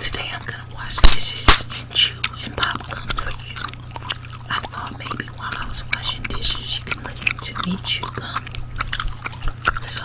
Today I'm gonna wash dishes and chew and popcorn for you. I thought maybe while I was washing dishes you could listen to me chew gum. So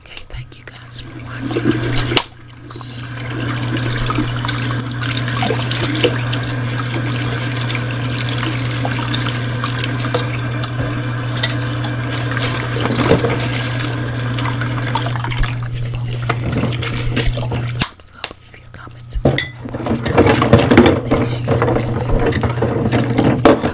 Okay, thank you guys for watching. leave your comments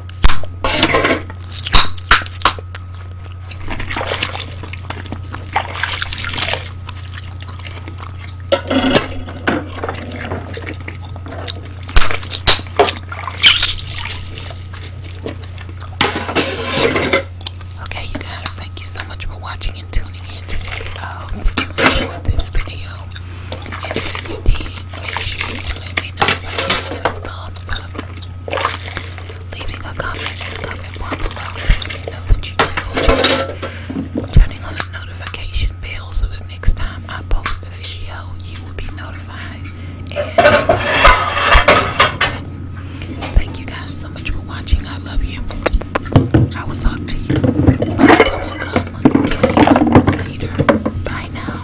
Okay, you guys, thank you so much for watching and tuning in today. I hope that you enjoyed this video if you did, make sure let me know by giving a thumbs up, leaving a comment in the comment below to let me know that you did, turning on the notification bell so that next time I post a video, you will be notified. And thank you guys so much for watching. I love you. I will talk to you. Later. Bye now.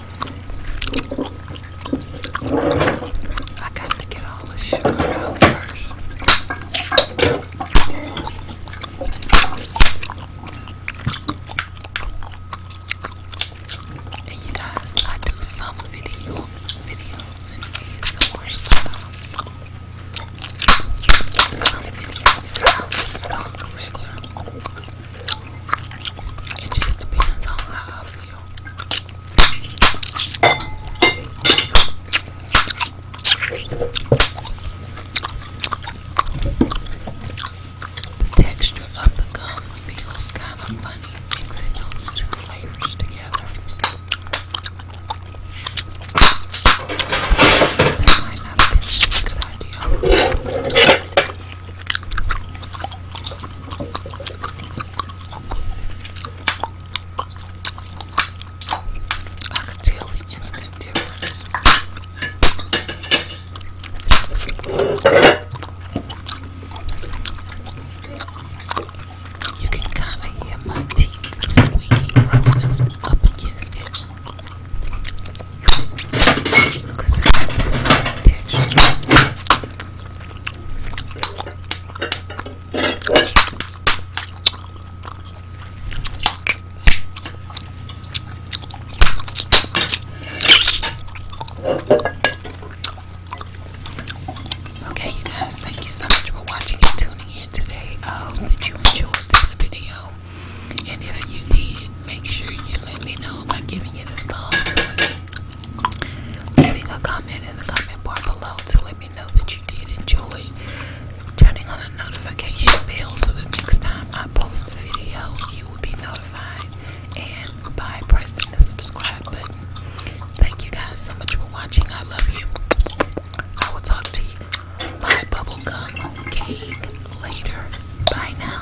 I got to get all the sugar out first. And you guys, I do some video videos and some more stuff. Some videos that I regular. It just depends on how the texture of the gum feels kind of funny mixing those two flavors together. That might not have been a good idea. I can tell the instant difference. You can kind of hear my teeth squeaking up against it. Because the texture. Okay, you guys, thank you so much for watching and tuning in today. I hope that you enjoyed this video. And if you did, make sure you let me know by giving it a thumbs up leaving a comment in the comment bar below to let me know that you did enjoy, turning on the notification bell so that next time I post a video you will be notified and by pressing the subscribe button. Thank you guys so much for watching. I love you. I will talk to you. Bye bubblegum cake later. Bye now.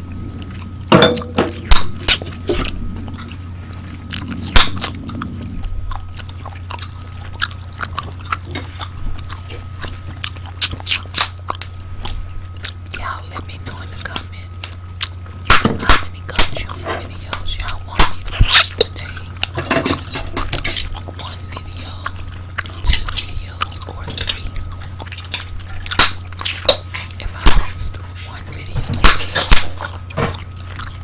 Y'all let me know in the comments how many country videos y'all want me to watch today. One video two videos or three. If I post one video,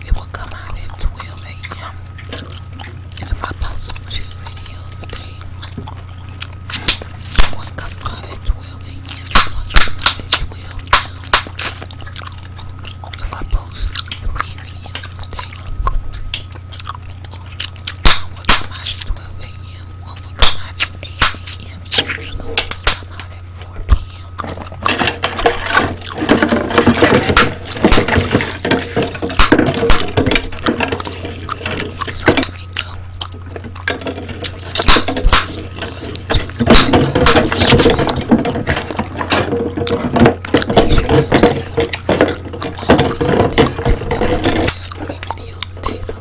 it will come out at 12 a.m. And if I post two videos one comes out at 12 a.m., one comes out at 12 now. If I post three videos a day, one will come out at 12 a.m. One will come out at 8 a.m. The one will come out at 4 p.m. So here we go. Make sure you say, I will be able to do every video based on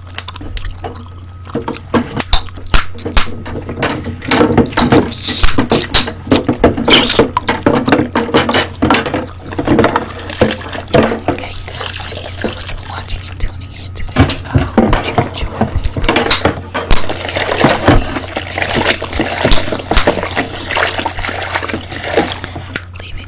Okay, you guys, thank you so much for watching and tuning in today. I hope you enjoyed this video. If you enjoyed it, make sure you guys leaving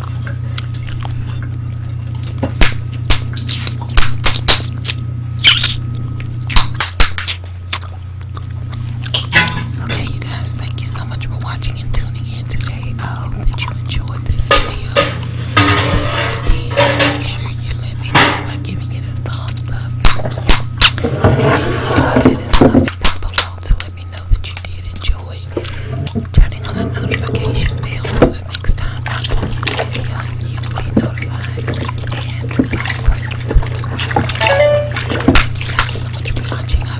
Okay, you guys, thank you so much for watching and tuning in today. I hope that you enjoyed this video. If make sure you let me know by giving it a thumbs up. If something to let me know that you did enjoy turning on the notification bell so that next time I post a video, you will be notified and by pressing the subscribe button. Thank you so much for watching. I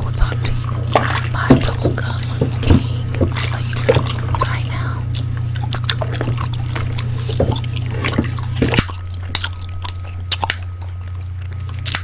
will talk to you. Bye, I love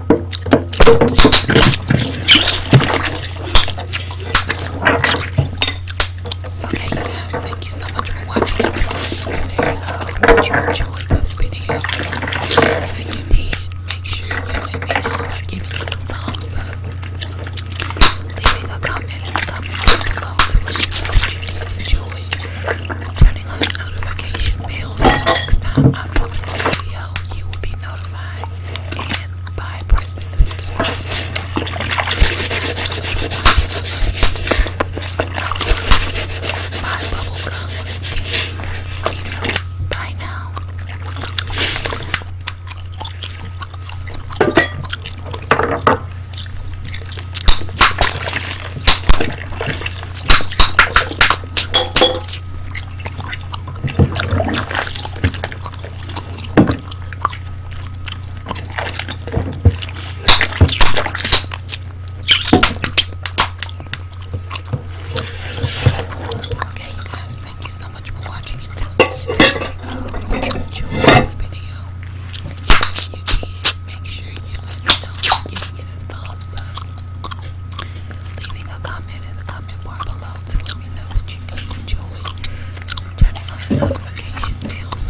Okay, guys, thank you so much for watching today. I uh, hope you enjoyed this video. If you did, make sure you let me know by giving it a thumbs up, leaving a comment in turning on the notification bell so next time I post a video, you will be be and by pressing the subscribe Buy bubblegum cake. Bye now. Okay, you guys, thank you so much for watching until the end. I hope you enjoyed this video. If you did, make sure you let me know. Give it a thumbs up. Leaving a comment in the comment bar below to let me know that you did enjoy. Turning on notification bell so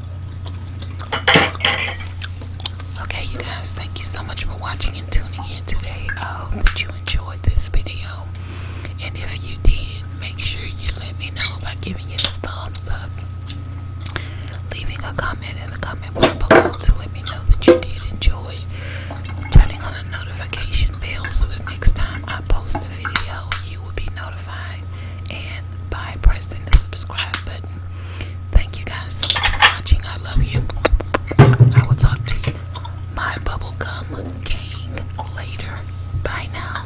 Okay, you guys, thank you so much for watching and tuning in today. I hope that you enjoyed this video. And if you did, make sure you let me know by giving it a thumbs up, leaving a comment in the comment bar below to let me know that you did enjoy, turning on the notification bell so that next time I post a video, you will be notified, and by pressing the subscribe button. Thank you guys so much for watching. I love you. I will talk to you, my bubblegum gang, later. Bye now.